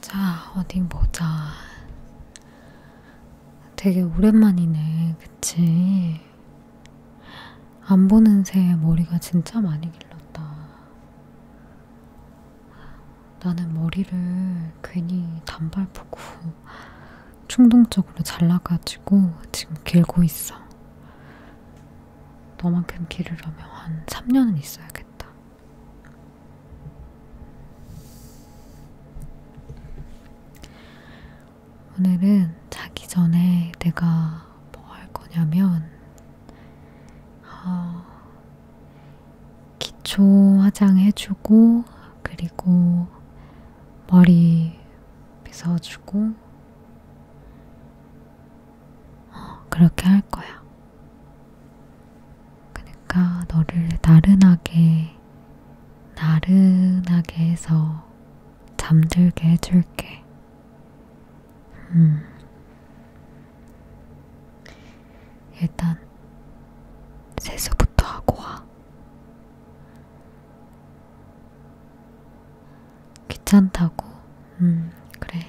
자, 어디 보자. 되게 오랜만이네, 그치? 안 보는 새에 머리가 진짜 많이 길렀다. 나는 머리를 괜히 단발 보고 충동적으로 잘라가지고 지금 길고 있어. 너만큼 기르려면 한 3년은 있어야겠다. 오늘은 자기 전에 내가 뭐 할 거냐면, 어, 기초 화장 해주고, 그리고 머리 빗어주고, 어, 그렇게 할 거야. 그러니까 너를 나른하게, 나른하게 해서 잠들게 해줄게. 음. 일단 세수부터 하고 와. 귀찮다고? 음, 그래.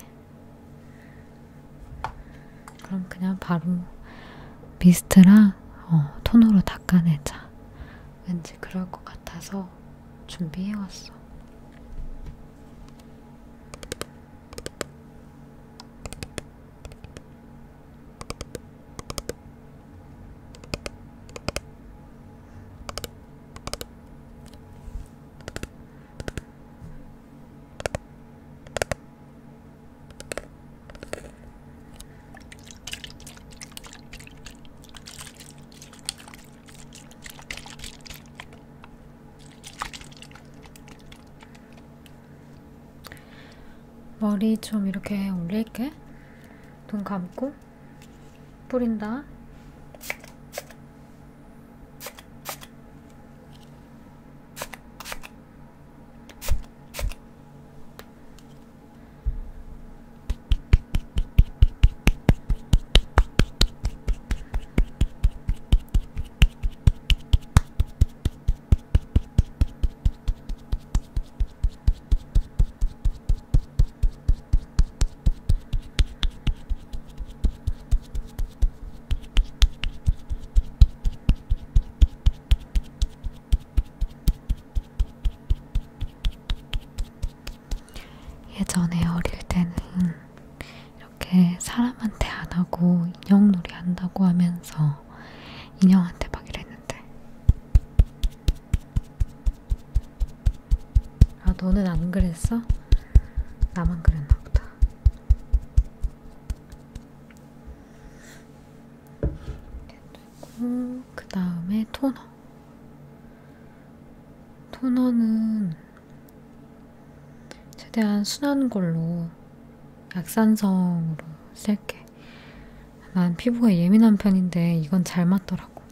그럼 그냥 바로 미스트랑 어, 톤으로 닦아내자. 왠지 그럴 것 같아서 준비해왔어. 머리 좀 이렇게 올릴게. 눈 감고. 뿌린다. 예전에 어릴 때는 이렇게 사람한테 안 하고 인형놀이 한다고 하면서 인형한테 막 이랬는데 아, 너는 안 그랬어? 나만 그랬나 보다. 그리고 그 다음에 토너. 토너는 최대한 순한 걸로 약산성으로 쓸게. 난 피부가 예민한 편인데 이건 잘 맞더라고.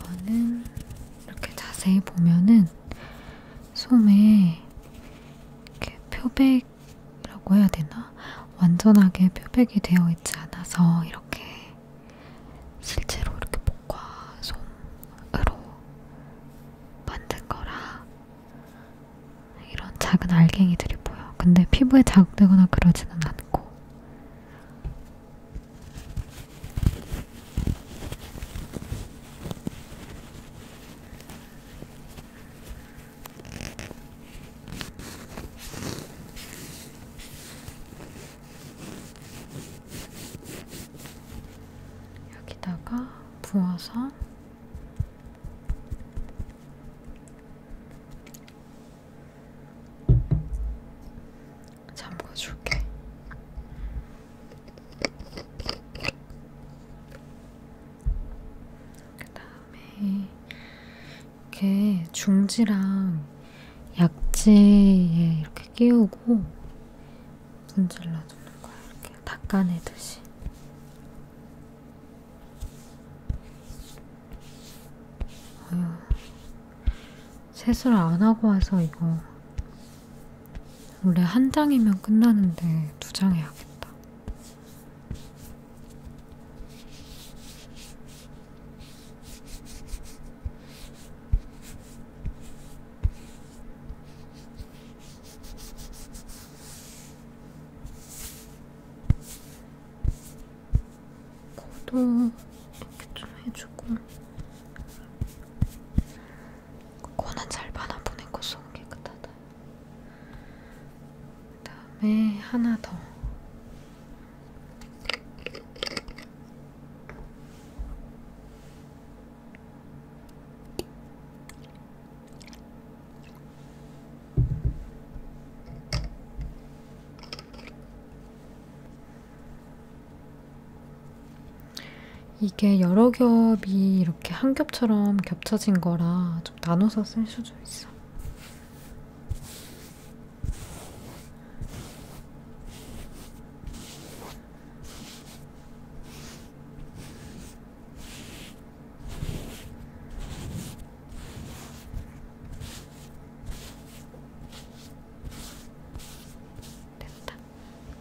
이거는 이렇게 자세히 보면은 솜에 이렇게 표백이라고 해야 되나? 완전하게 표백이 되어 있지 않아서 이렇게 실제로 이렇게 목과 솜으로 만든 거라 이런 작은 알갱이들이 보여. 근데 피부에 자극되거나 그러지는 않고. 여기다가 부어서 잠궈줄게. 그 다음에 이렇게 중지랑 약지에 이렇게 끼우고 문질러주는 거야. 이렇게 닦아내듯이. 아유, 세수를 안 하고 와서 이거 원래 한 장이면 끝나는데 두 장 해야겠다. 코도 이렇게 좀 해주고 코는 잘 받아보낸 코 속은 깨끗하다 그 다음에 하나 더 이게 여러 겹이 이렇게 한 겹처럼 겹쳐진 거라 좀 나눠서 쓸 수도 있어. 됐다.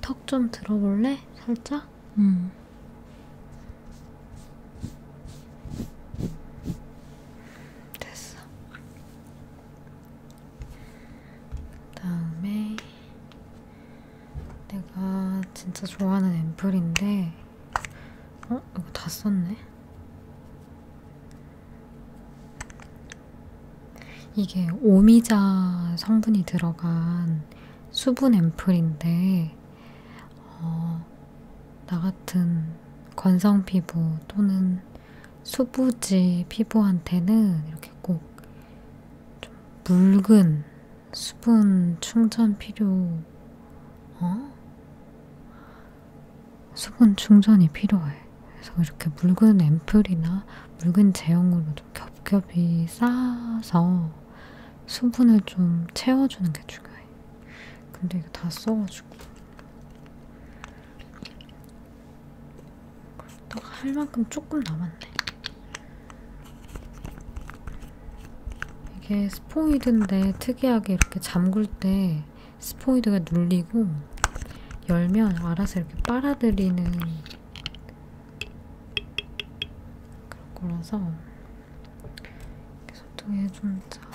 턱 좀 들어볼래? 살짝? 음. 됐어. 그 다음에 내가 진짜 좋아하는 앰플인데 어? 이거 다 썼네? 이게 오미자 성분이 들어간 수분 앰플인데 어, 나 같은 건성 피부 또는 수부지 피부한테는 이렇게 꼭 좀 묽은 수분 충전 필요, 어? 수분 충전이 필요해. 그래서 이렇게 묽은 앰플이나 묽은 제형으로 좀 겹겹이 쌓아서 수분을 좀 채워주는 게 중요해. 근데 이거 다 써가지고. 딱할 만큼 조금 남았네. 이게 스포이드인데 특이하게 이렇게 잠글 때 스포이드가 눌리고 열면 알아서 이렇게 빨아들이는 그런 거라서 이렇게 손등에 좀 짜고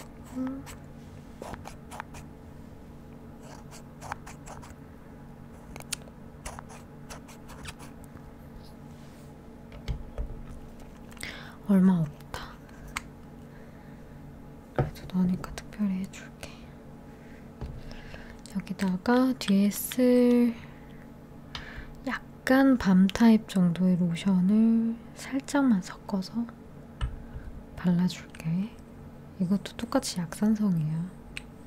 얼마 없다. 그래도 너니까 특별히 해줄게. 여기다가 뒤에 쓸 약간 밤 타입 정도의 로션을 살짝만 섞어서 발라줄게. 이것도 똑같이 약산성이야.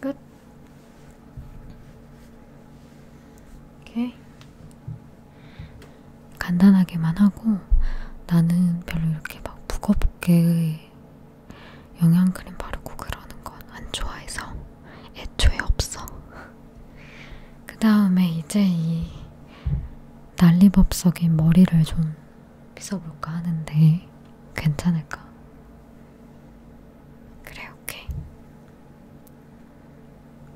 끝. 이렇게 간단하게만 하고 나는 별로 이렇게 막 무겁게 근데 영양크림 바르고 그러는 건 안 좋아해서 애초에 없어. 그 다음에 이제 이 난리법석인 머리를 좀 빗어볼까 하는데 괜찮을까? 그래, 오케이.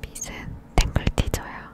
빗은 탱글티저야.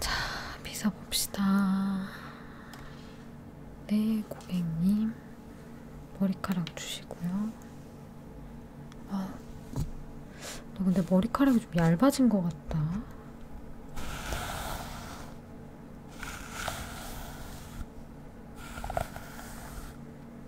자, 비서 봅시다. 네, 고객님. 머리카락 주시고요. 아, 너 근데 머리카락이 좀 얇아진 것 같다.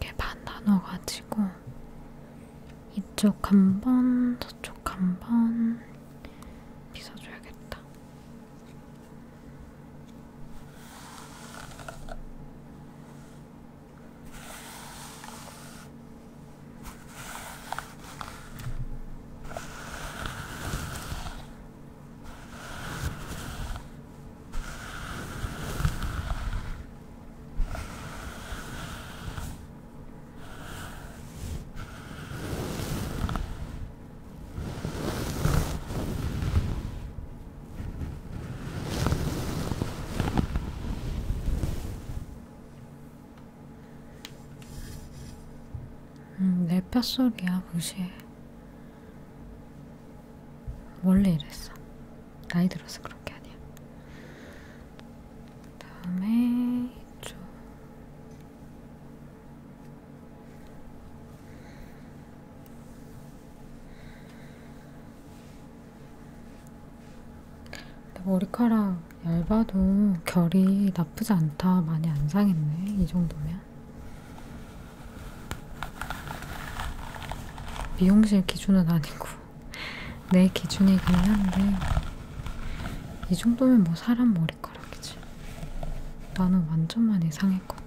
이렇게 반 나눠가지고 이쪽 한번 저쪽 한번 빗어줘야겠다. 음, 내 뼛소리야 무시해 원래 이랬어. 나이 들어서 그런 게 아니야. 다음에 이쪽. 머리카락 얇아도 결이 나쁘지 않다. 많이 안 상했네. 이 정도면. 미용실 기준은 아니고 내 기준이긴 한데 이 정도면 뭐 사람 머리카락이지. 나는 완전 많이 상했거든.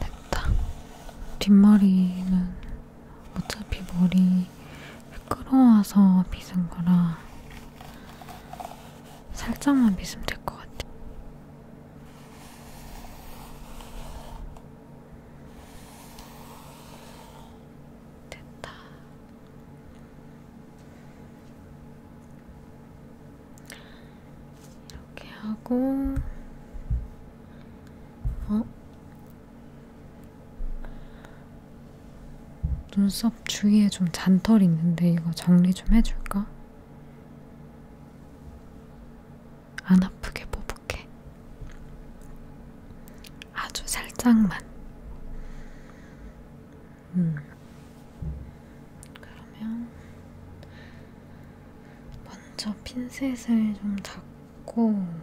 됐다. 뒷머리는 어차피 머리 끌어와서 빗은 거라 살짝만 빗으면 될 것 같아. 됐다. 이렇게 하고, 어? 눈썹 주위에 좀 잔털이 있는데 이거 정리 좀 해줄까? 안 아프게 보복해. 아주 살짝만. 음. 그러면 먼저 핀셋을 좀 잡고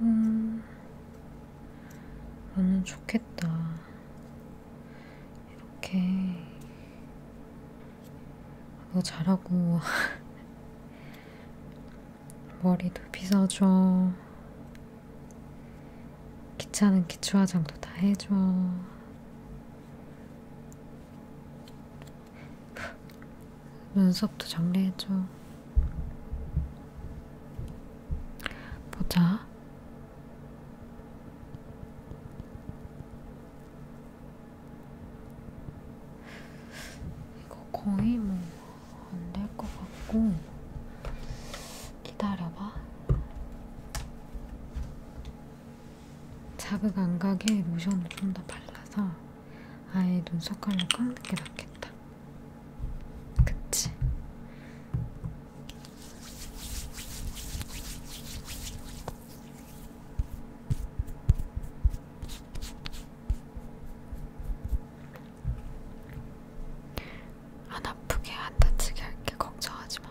음, 나는 좋겠다. 이렇게 너 잘하고 머리도 빗어줘. 기차는 기초 화장도 다 해줘. 눈썹도 정리해줘. 보자. 이거 거의 뭐 안 될 것 같고 기다려봐. 자극 안 가게 로션을 좀 더 발라서. 아예 눈썹 칼로 깎는 게 낫겠다. 그치? 안 아프게 안 다치게 할게 걱정하지 마.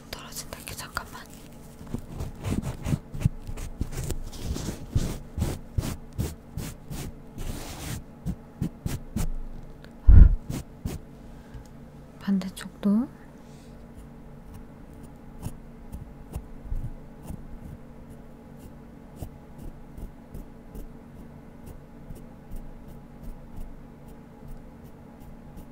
안 떨어진다. 게 잠깐만. 반대쪽도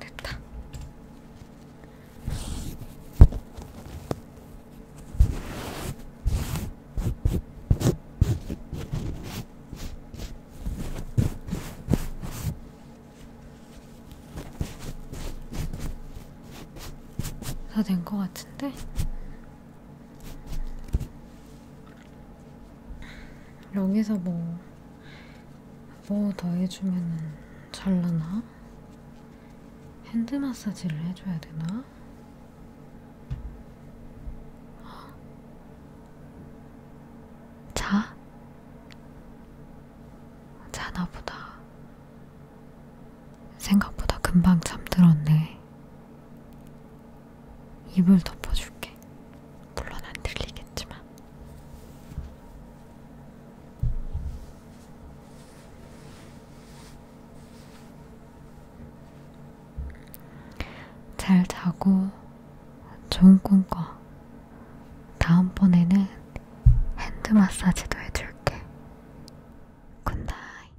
됐다. 다 된 것 같은데? 여기서 뭐 뭐더 해주면 잘나나? 핸드 마사지를 해줘야 되나? 자? 자나보다. 생각보다 금방 잠들었네. 이불 덮어줄게. 물론 안 들리겠지만 잘 자고 좋은 꿈 꿔 다음번에는 핸드 마사지도 해줄게 굿나잇